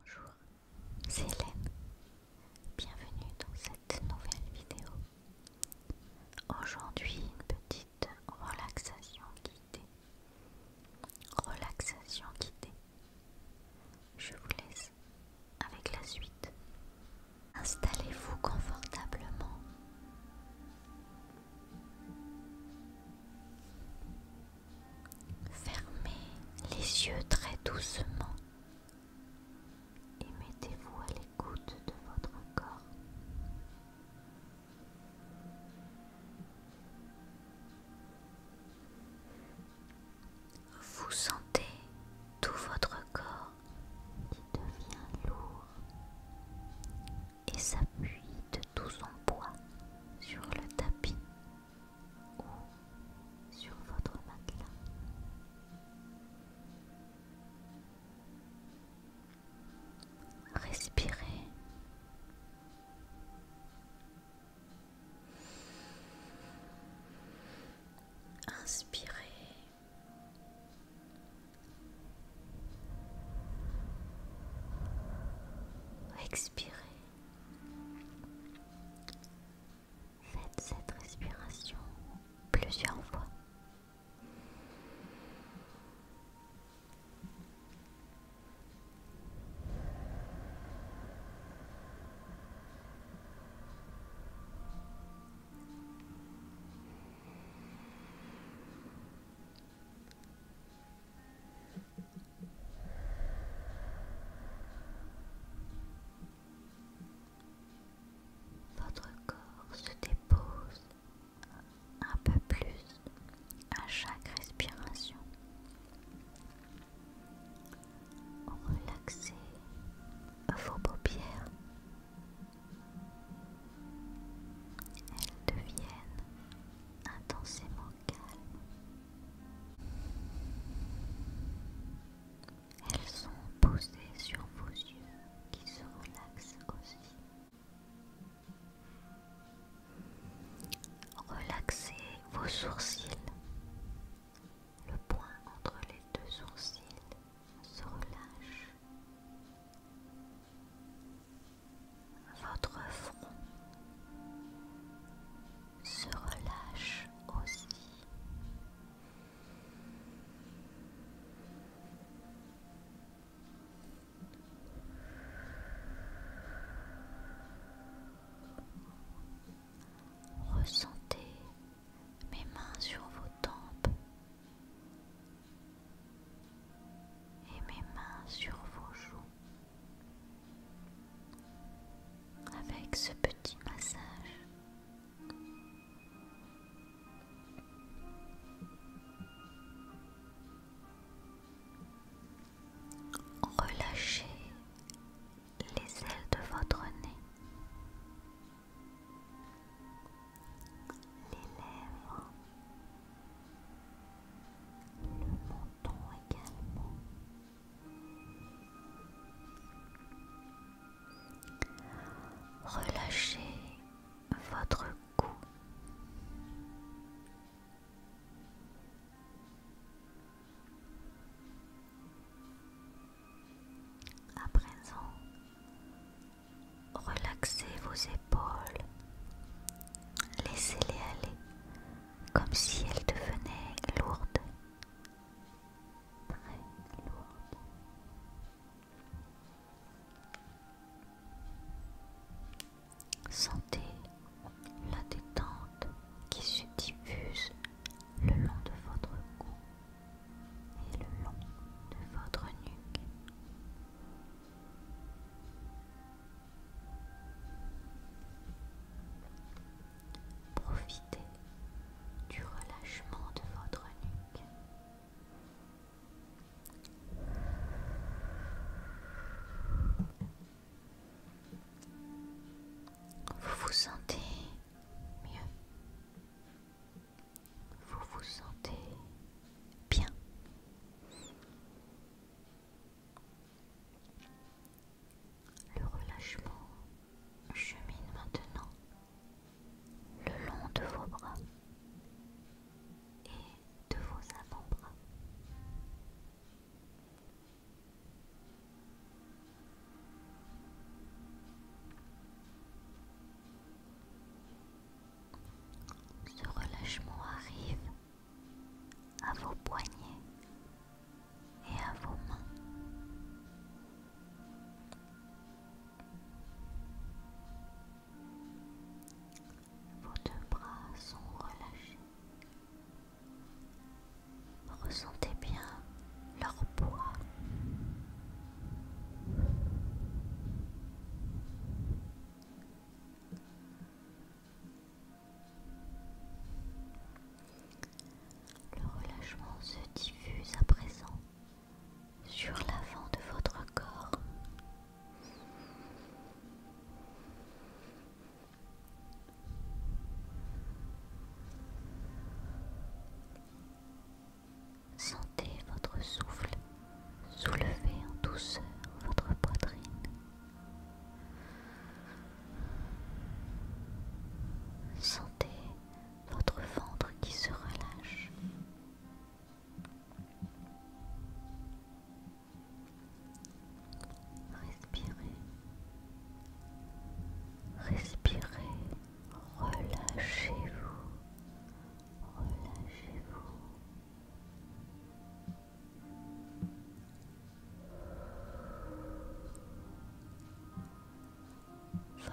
Bonjour, c'est Hélène. Bienvenue dans cette nouvelle vidéo. Aujourd'hui, une petite relaxation guidée. Relaxation guidée. Je vous laisse avec la suite. Installez-vous confortablement. Fermez les yeux très doucement et mettez-vous à l'écoute de votre corps. Vous sentez tout votre corps qui devient lourd, et s'appuie de tout son poids sur le tapis ou sur votre matelas. Respirez. Inspirez. Expirez. Faites cette respiration plusieurs fois. Votre corps se dépose un peu plus à chaque respiration. Relaxez vos paupières elles deviennent intensément calmes. Elles sont posées sur vos yeux qui se relaxent aussi. Relaxez vos sourcils, le point entre les deux sourcils se relâche. Votre front se relâche aussi. Ressentez mes mains sur vos tempes et mes mains sur vos joues avec ce petit massage. Relâchez les ailes de votre nez les lèvres, le menton également. Relâchez votre cou. À présent, relaxez vos épaules. Laissez-les aller comme si elles devenaient lourdes. Très lourdes. Sentez la détente qui se diffuse le long de votre cou et le long de votre nuque. Profitez du relâchement de votre nuque. Vous vous sentez mieux vous vous sentez bien. Le relâchement chemine maintenant le long de vos bras et de vos avant-bras. Ce relâchement arrive à vos poignets et à vos mains. Vos deux bras sont relâchés. Ressentez bien leur poids. Le relâchement se diffuse à présent sur l'avant de votre corps. Sentez votre souffle soulever en douceur votre poitrine. Sentez votre ventre qui se relâche. Respirez. Respirez, relâchez-vous, relâchez-vous.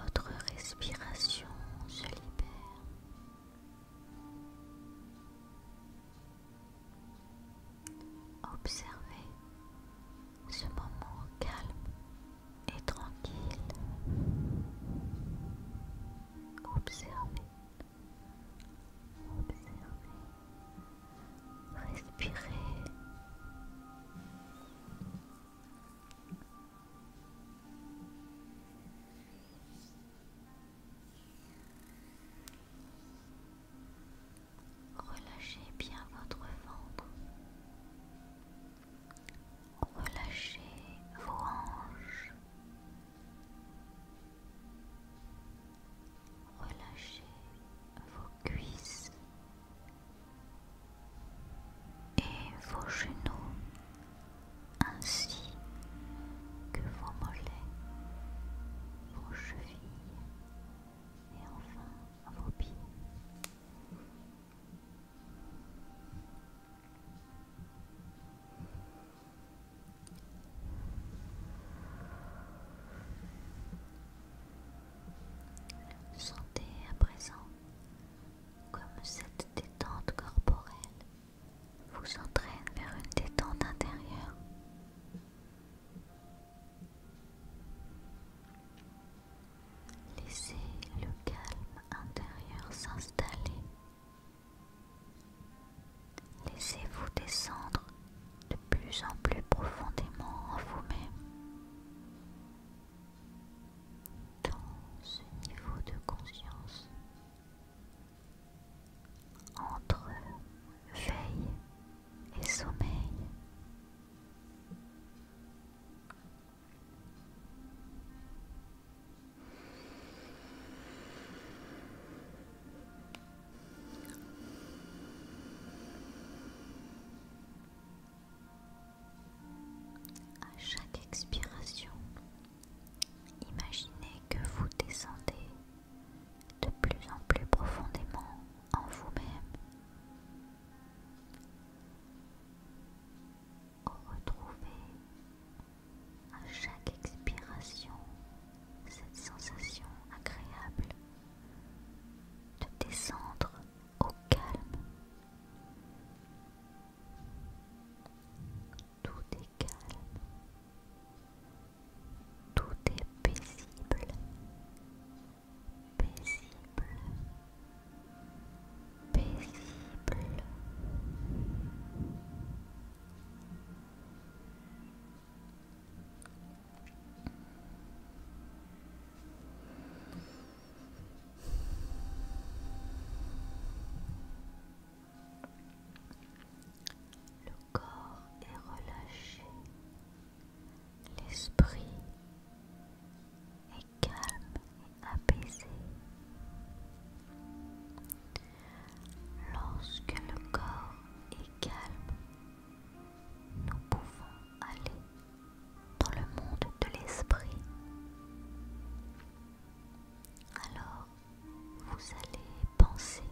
Votre respiration se libère. Observez ce moment calme et tranquille. Observez, observez, respirez. Relâchez bien votre ventre. Relâchez vos hanches. Relâchez vos cuisses et vos genoux ainsi que vos mollets, vos chevilles et enfin Sentez à présent comme cette détente corporelle vous entraîne vers une détente intérieure. Laissez le calme intérieur s'installer. Laissez-vous descendre de plus en plus profondément en vous-même. Dans ce niveau de conscience, entre veille et sommeil. À chaque expiration, imaginez que vous descendez de plus en plus profondément en vous-même. Retrouvez à chaque expiration cette sensation agréable de descendre au calme. Tout est calme. Tout est paisible, paisible, paisible. Le corps est relâché. L'esprit est calme et apaisé. Lorsque le corps est calme, nous pouvons aller dans le monde de l'esprit. Alors, vous allez penser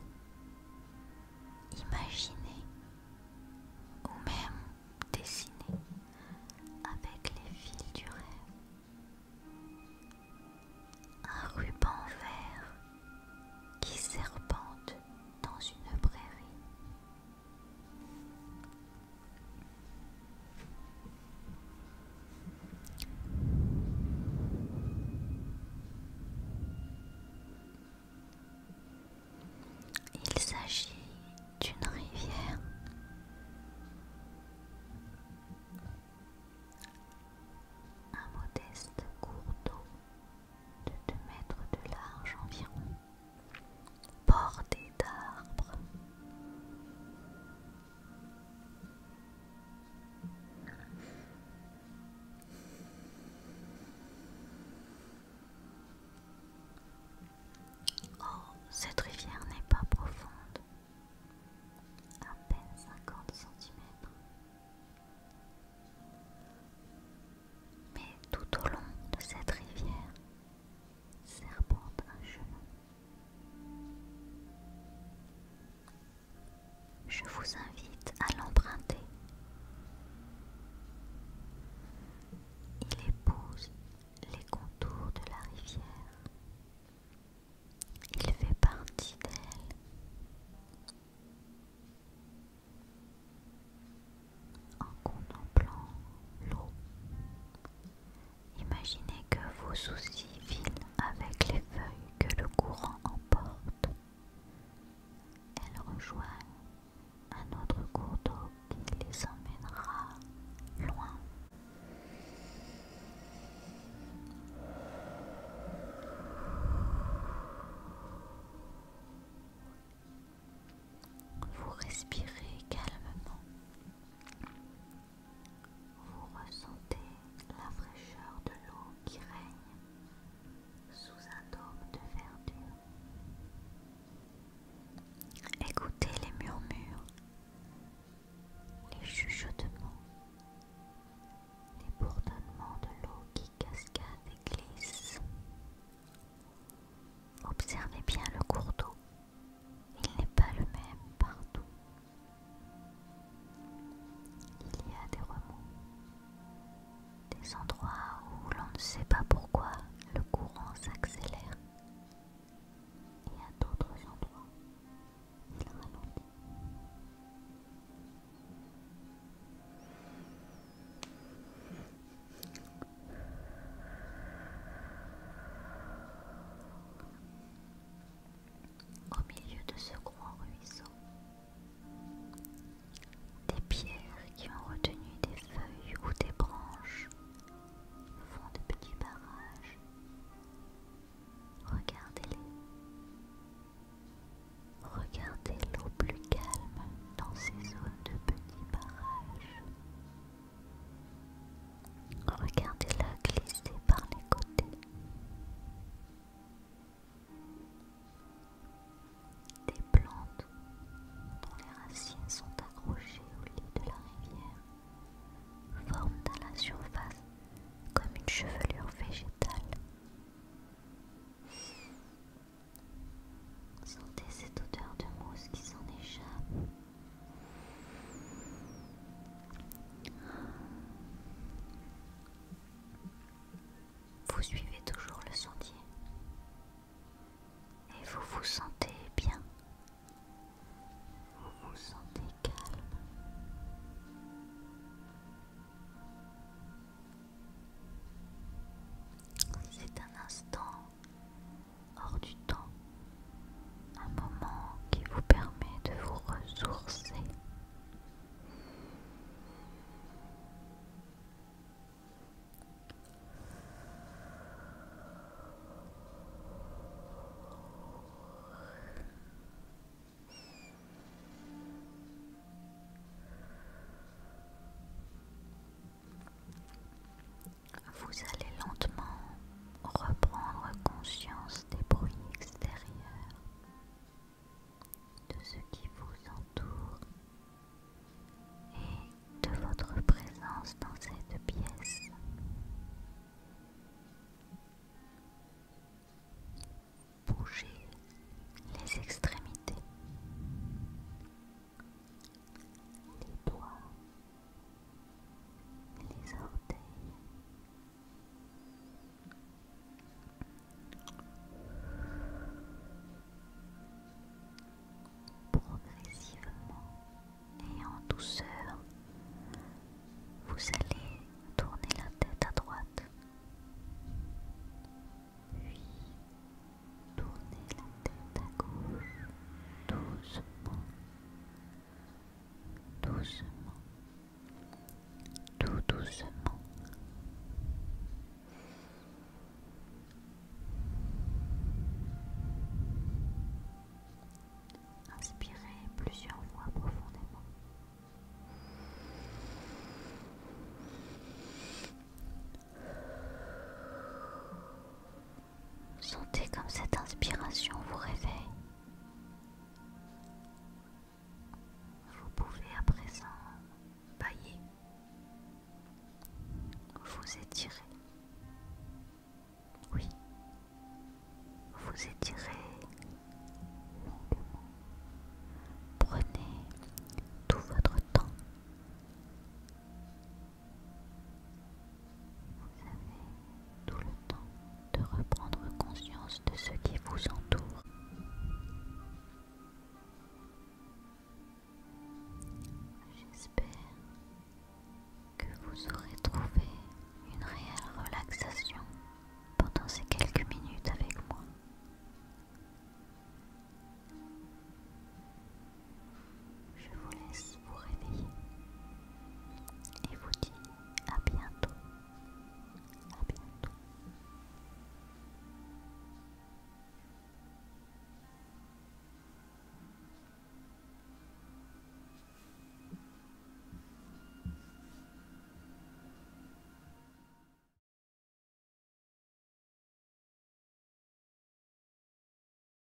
Imaginez, ou même dessiner avec les fils du rêve un ruban vert qui serpente dans une prairie. Il s'agit d'une rivière. Un modeste cours d'eau de 2 mètres de large environ, bordé d'arbres. Oh, cette rivière n'est pas profonde, à peine 50 cm. Mais tout au long de cette rivière serpente un chemin. Je vous invite à l'emprunter. Il épouse les contours de la rivière. Il fait partie d'elle. En contemplant l'eau, imaginez que vos soucis filent avec les feuilles que le courant emporte. Elle Elles rejoignent un autre cours d'eau qui les emmènera loin. Vous respirez calmement vous ressentez la fraîcheur de l'eau qui règne sous un dôme de verdure. Écoutez les murmures, les chuchotements, les bourdonnements de l'eau qui cascade et glisse. Observez bien le cours d'eau, il n'est pas le même partout. Il y a des remous, des endroits où l'on ne sait pas pourquoi le courant s'accélère, et à d'autres endroits, il au milieu de ce grand ruisseau. Des pierres qui ont retenu des feuilles ou des branches font de petits barrages. Regardez-les. Regardez l'eau plus calme dans ces zones de petits barrages. Regardez-la glisser par les côtés. Des plantes dont les racines sont accrochées au lit de la rivière forment à la surface comme une chevelure végétale. Sentez cette odeur de mousse qui s'en échappe. Vous suivez toujours le sentier et vous vous sentez bien. Vous vous sentez calme. C'est un instant hors du temps un moment qui vous permet de vous ressourcer. Vous allez lentement reprendre conscience des bruits extérieurs, de ce qui vous entoure et de votre présence dans cette pièce. Bougez les extrémités, les doigts, les Progressivement et en douceur, vous allez tourner la tête à droite, puis tourner la tête à gauche doucement doucement, tout doucement. Inspirez plusieurs fois profondément. Sentez comme cette inspiration vous réveille. Vous pouvez à présent bailler, vous étirez. Oui, vous étirez Prenez tout votre temps. Vous avez tout le temps de reprendre conscience de ce qui vous entoure. J'espère que vous aurez trouvé une réelle relaxation pendant ces quelques minutes avec moi. Je vous laisse vous réveiller et vous dis à bientôt. À bientôt.